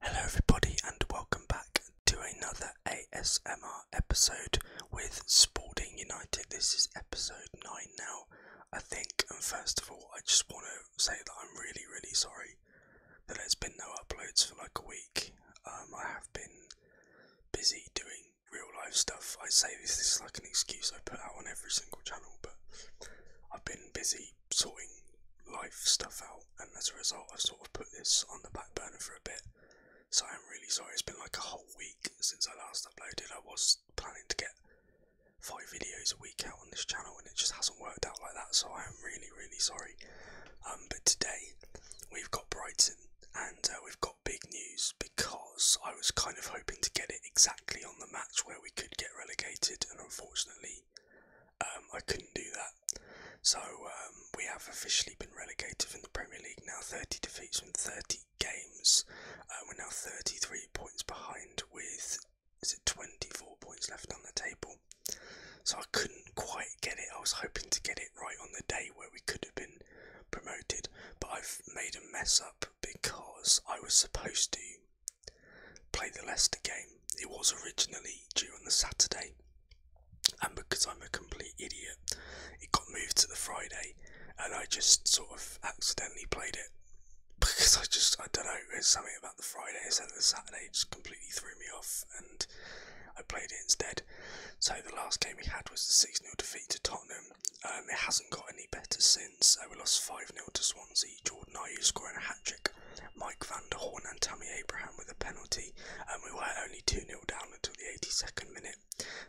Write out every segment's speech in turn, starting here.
Hello, everybody, and welcome back to another ASMR episode with Sporting United. This is episode 9 now, I think. And first of all, I just want to say that I'm really, really sorry that there's been no uploads for like a week. Um, I have been busy doing real life stuff. I say this is like an excuse I put out on every single channel, but I've been busy sorting life stuff out, and as a result, I've sort of put this on the back burner for a bit. So I'm really sorry, it's been like a whole week since I last uploaded. I was planning to get five videos a week out on this channel, and it just hasn't worked out like that, so I am really, really sorry. Um, but today, we've got Brighton, and uh, we've got big news because I was kind of hoping to get it exactly on the match where we could get relegated, and unfortunately, um, I couldn't do that. So um, we have officially been relegated from the Premier League now 30 defeats from 30 games. Uh, we're now 33 points behind with is it 24 points left on the table. So I couldn't quite get it. I was hoping to get it right on the day where we could have been promoted, but I've made a mess up because I was supposed to play the Leicester game. It was originally due on the Saturday, and because I'm a complete idiot, it got moved to the Friday, and I just sort of accidentally played it because I just I don't know there's something about the Friday instead of the Saturday just completely threw me off, and I played it instead. So the last game we had was the six 0 defeat to Tottenham. Um, it hasn't got any better since. Uh, we lost five 0 to Swansea Swansea, Jordan Ayew scoring a hat trick, Mike van der Horn and Tammy Abraham with a penalty, and we were only 2 0 down until the 82nd minute.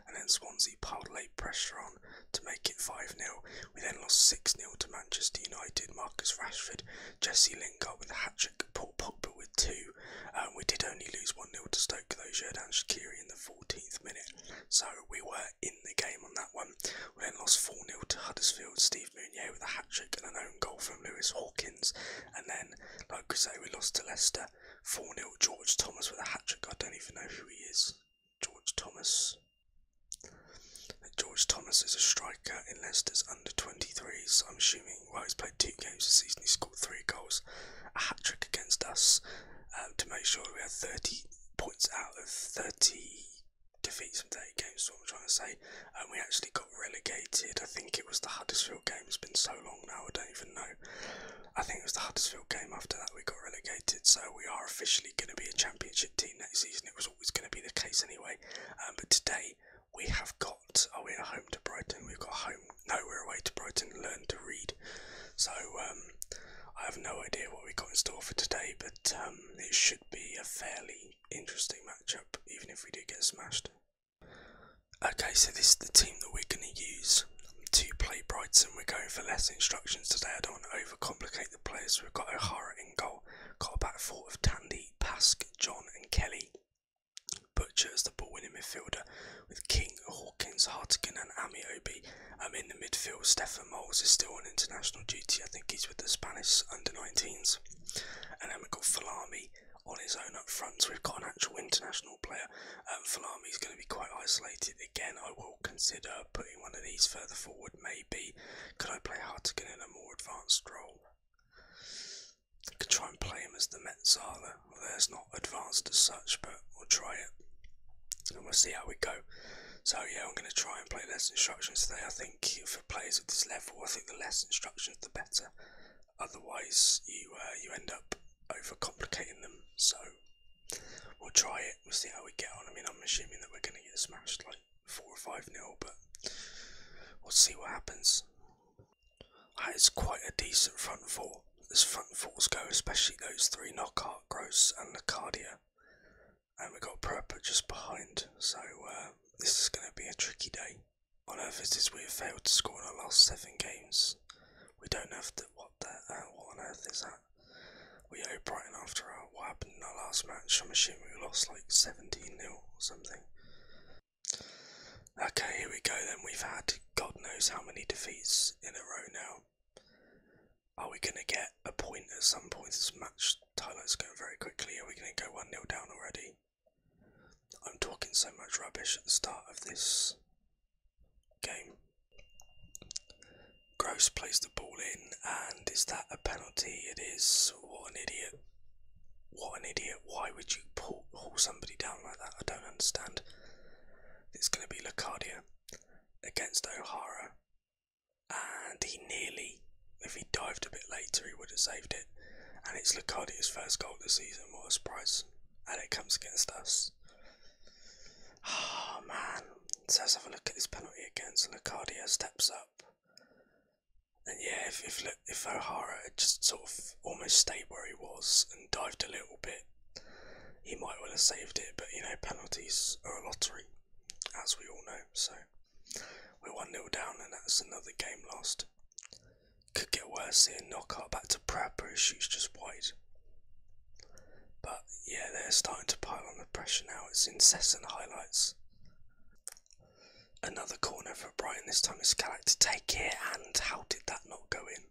And then Swansea piled late pressure on to make it 5 0. We then lost 6 0 to Manchester United, Marcus Rashford, Jesse Lingard with a hat trick, Paul Pogba with two. and um, we did only lose 1 0 to Stoke, though, Jordan Shakiri in the 14th minute, so we were in the game on that one. We then lost 4 0 to Huddersfield, Steve Steve with a hat trick and an own goal from Lewis Hawkins. And then, like I say, we lost to Leicester 4 nil. George Thomas with a hat trick. I don't even know who he is. George Thomas. George Thomas is a striker in Leicester's under 23s. I'm assuming, well, he's played two games this season. He scored three goals, a hat trick against us um, to make sure we had 30 points out of 30 Defeat some day games, what I'm trying to say. And we actually got relegated. I think it was the Huddersfield game. It's been so long now, I don't even know. I think it was the Huddersfield game after that we got relegated. So we are officially going to be a championship team next season. It was always going to be the case anyway. Um, but today we have got, Are oh, we're home to Brighton. We've got home, no, we're away to Brighton, learn to read. So, um, I have no idea what we got in store for today, but um, it should be a fairly interesting matchup, even if we do get smashed. Okay, so this is the team that we're going to use to play Brighton. We're going for less instructions today. I don't want to overcomplicate the players. We've got O'Hara in goal, got a back four of Tandy, Pask, John, and Kelly. Butcher as the ball winning midfielder, with King, Hawkins, Hartigan, and Amiobi. Um, in the midfield, Stephen Moles is still on international duty. I think he's with the Spanish under 19s. And An we got Falami on his own up front, so we've got an actual international player. Um, Falami is going to be quite isolated again. I will consider putting one of these further forward, maybe. Could I play Hartigan in a more advanced role? I could try and play him as the Metzala. Although it's not advanced as such, but we'll try it. And we'll see how we go. So yeah, I'm going to try and play less instructions today. I think for players at this level, I think the less instructions, the better. Otherwise, you uh, you end up overcomplicating them. So we'll try it. We'll see how we get on. I mean, I'm assuming that we're going to get smashed like four or five nil, but we'll see what happens. That is quite a decent front four as front fours go, especially those three Knockhart, Gross, and Lacardia. And we've got Proper just behind, so uh, this is going to be a tricky day on earth is We have failed to score in our last seven games. We don't know What the? Uh, what on earth is that? We owe Brighton after our, what happened in our last match. I'm assuming we lost like 17 0 or something. Okay, here we go then. We've had God knows how many defeats in a row now. Are we going to get a point at some point? This match highlights going very quickly. Are we going to go 1 0 down already? I'm talking so much rubbish at the start of this game. Gross plays the ball in, and is that a penalty? It is. What an idiot. What an idiot. Why would you pull, haul somebody down like that? I don't understand. It's going to be Lacardia against O'Hara, and he nearly if he dived a bit later, he would have saved it. And it's Lucardi's first goal this season. What a surprise! And it comes against us. Oh man! So let's have a look at this penalty against Lucardia steps up. And yeah, if if if O'Hara had just sort of almost stayed where he was and dived a little bit, he might well have saved it. But you know, penalties are a lottery, as we all know. So we're 1 0 down, and that's another game lost. Could get worse here. Knockout back to prep, Pratt, who shoots just white. But yeah, they're starting to pile on the pressure now. It's incessant highlights. Another corner for Brighton. This time it's Gallic to take it, and how did that not go in?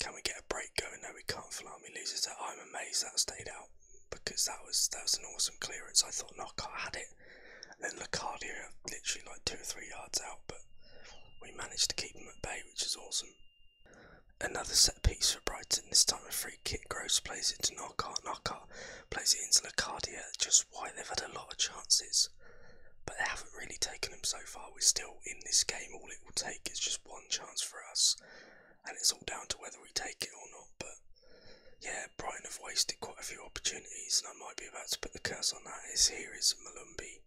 Can we get a break going? No, we can't. Falami loses it. I'm amazed that stayed out because that was that was an awesome clearance. I thought Knockout had it then Lacardia literally like two or three yards out, but we managed to keep him at bay, which is awesome. Another set piece for Brighton, this time a free kick. Gross plays it to knock, Narcart plays it into Lacardia. Just why they've had a lot of chances, but they haven't really taken them so far. We're still in this game. All it will take is just one chance for us, and it's all down to whether we take it or not. But yeah, Brighton have wasted quite a few opportunities, and I might be about to put the curse on that. Is here is Malumbi.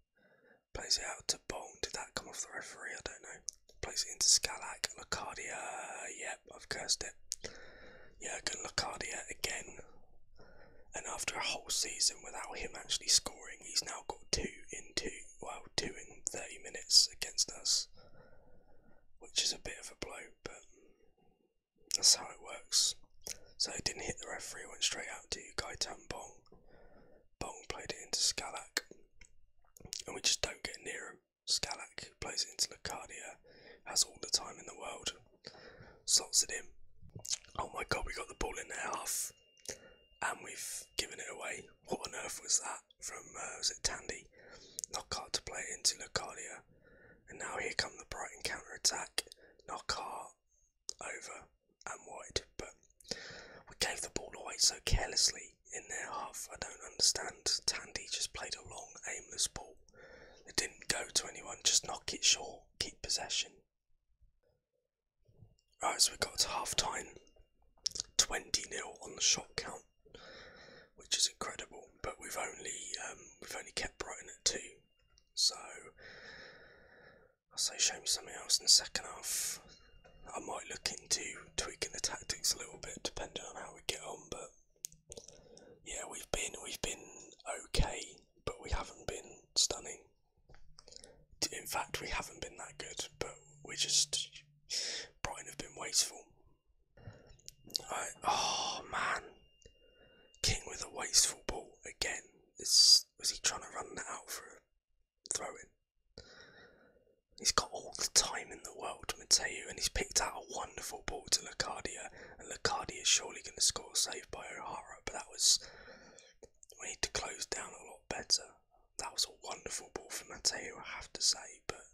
Plays it out to Bong. Did that come off the referee? I don't know. Plays it into Scalac. Lacardia. Yep, I've cursed it. Jurgen Lacardia again. And after a whole season without him actually scoring, he's now got two in two, well, two in 30 minutes against us, which is a bit of a blow, but that's how it works. So it didn't hit the referee, went straight out to Gaitan Bong. Bong played it into Scalac, and we just don't get near him. Scalac plays it into Lacadia. has all the time in the world, slots it in. Oh my god, we got the ball in the half, and we've given it away. What on earth was that from, uh, was it Tandy? Not Knockout to play into Lacadia. And now here come the Brighton counter attack. Knock Knockhart over and wide. But we gave the ball away so carelessly in their half. I don't understand. Tandy just played a long, aimless ball. It didn't go to anyone. Just knock it short. Keep possession. Right, so we got half time. 20 0 on the shot count which is incredible. But we've only um, we've only kept Brighton at two, so I'll say show me something else in the second half. I might look into tweaking the tactics a little bit, depending on how we get on. But yeah, we've been we've been okay, but we haven't been stunning. In fact, we haven't been that good, but we just Brighton have been wasteful. Oh man, King with a wasteful ball again. Is was he trying to run that out for a throw in? He's got all the time in the world, Mateo, and he's picked out a wonderful ball to Lacardia, and Lacardia is surely going to score a save by O'Hara. But that was we need to close down a lot better. That was a wonderful ball for Mateo, I have to say, but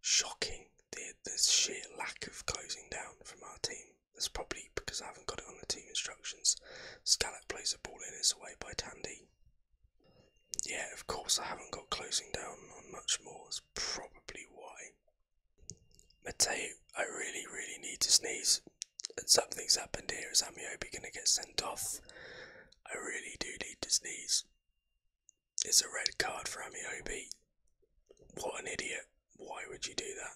shocking the, the sheer lack of closing down from our team. That's probably because I haven't got it on the team instructions. Scallop plays the ball in, his away by Tandy. Yeah, of course I haven't got closing down on much more, that's probably why. Mateo, I really, really need to sneeze. Something's happened here. Is Amiobi going to get sent off? I really do need to sneeze. It's a red card for Amiobi. What an idiot why would you do that?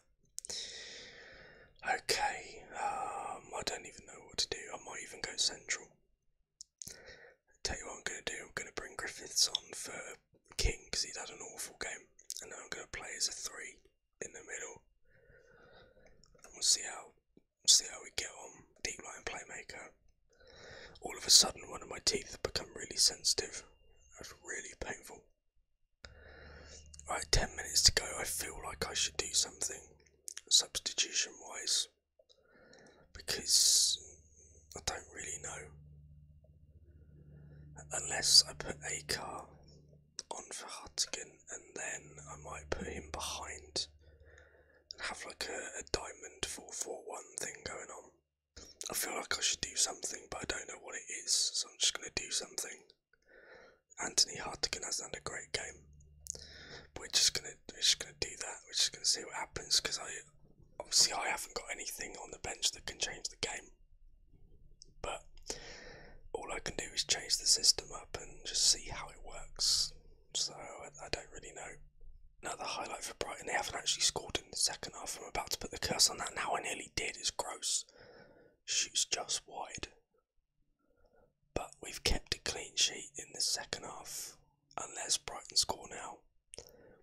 Okay, um, I don't even know what to do. I might even go central. I'll tell you what I'm going to do. I'm going to bring Griffiths on for King because he's had an awful game, and then I'm going to play as a three in the middle, we'll see how see how we get on. Deep line playmaker. All of a sudden, one of my teeth have become really sensitive. That's really painful. Right, 10 minutes to go. I feel like I should do something substitution wise because I don't really know. Unless I put a car on for Hartigan and then I might put him behind and have like a diamond 441 thing going on. I feel like I should do something, but I don't know what it is, so I'm just going to do something. Anthony Hartigan hasn't had a great game. we're just gonna we're just gonna do that. We're just gonna see what happens because I obviously I haven't got anything on the bench that can change the game. But all I can do is change the system up and just see how it works. So I, don't really know. Now the highlight for Brighton, they haven't actually scored the second half. I'm about to put the curse on that now. I nearly did. It's gross. Shoots just wide. But we've kept a clean sheet in the second half. Unless Brighton score now,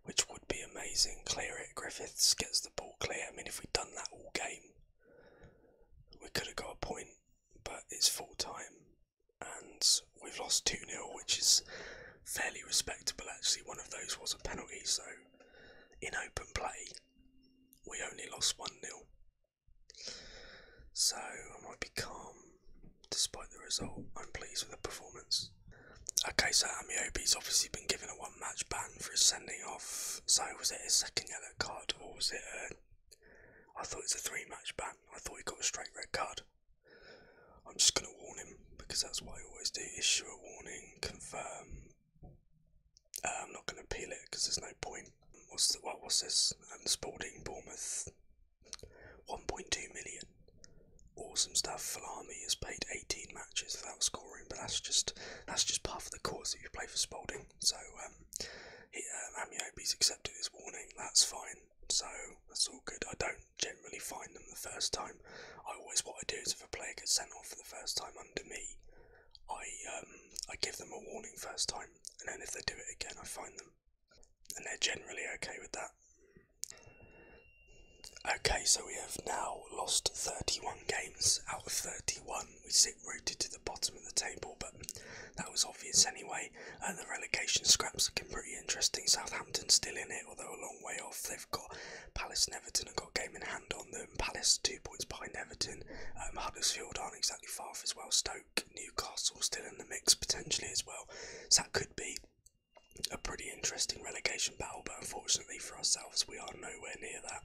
which would be amazing. Clear it. Griffiths gets the ball clear. I mean, if we'd done that all game, we could have got a point. But it's full time. And we've lost 2 0, which is fairly respectable actually. One of those was a penalty, so in open play, we only lost 1 0. So I might be calm despite the result. I'm pleased with the performance. Okay, so Amiobi's obviously been given a one match ban for his sending off. So was it a second yellow card or was it a. I thought it was a three match ban. I thought he got a straight red card. I'm just going to warn him because that's what I always do issue a warning confirm. Uh, I'm not going to appeal it because there's no point. What's the, what was this? And Sporting Bournemouth, 1.2 million. Awesome stuff. Falami has played 18 matches without scoring, but that's just that's just part of the course that you play for Spalding. So um, he, um, Amiobi's accepted his warning. That's fine. So that's all good. I don't generally find them the first time I always what I do is if a player gets sent off for the first time under me, I um, I give them a warning first time, and then if they do it again, I find them, and they're generally okay with that. Okay, so we have now lost 31 games out of 31. We sit rooted to the bottom of the table, but that was obvious anyway. Uh, the relegation scraps looking pretty interesting. Southampton still in it, although a long way off. They've got Palace and Everton have got game in hand on them. Palace two points behind Everton. Um, Huddersfield aren't exactly far off as well. Stoke, Newcastle still in the mix potentially as well. So that could be a pretty interesting relegation battle, but unfortunately for ourselves, we are nowhere near that.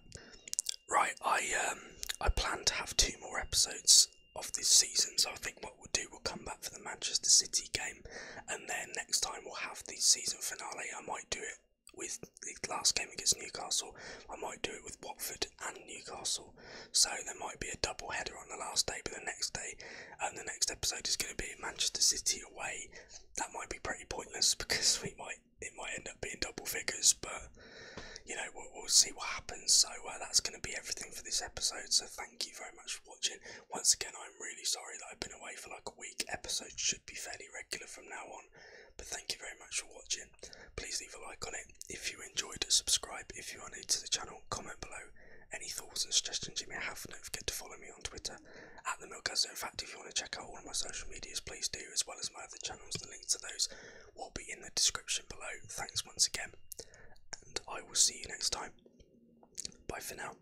Right, I um, I plan to have two more episodes of this season. So I think what we'll do, we'll come back for the Manchester City game, and then next time we'll have the season finale. I might do it with the last game against Newcastle. I might do it with Watford and Newcastle. So there might be a double header on the last day, but the next day and the next episode is going to be Manchester City away. That might be pretty pointless because we might it might end up being double figures, but you know we'll, we'll see what happens. So uh, that's going to be everything for this episode. So thank you very much for watching. Once again, I'm really sorry that I've been away for like a week. Episode should be fairly regular from now on. But thank you very much for watching. Please leave a like on it if you enjoyed. Subscribe if you are new to the channel. Comment below any thoughts and suggestions you may have. Don't forget to follow me on Twitter at the Milk Milkazo. In fact, if you want to check out all of my social medias, please do, as well as my other channels. The links to those will be in the description below. Thanks once again, and I will see you next time. Bye for now.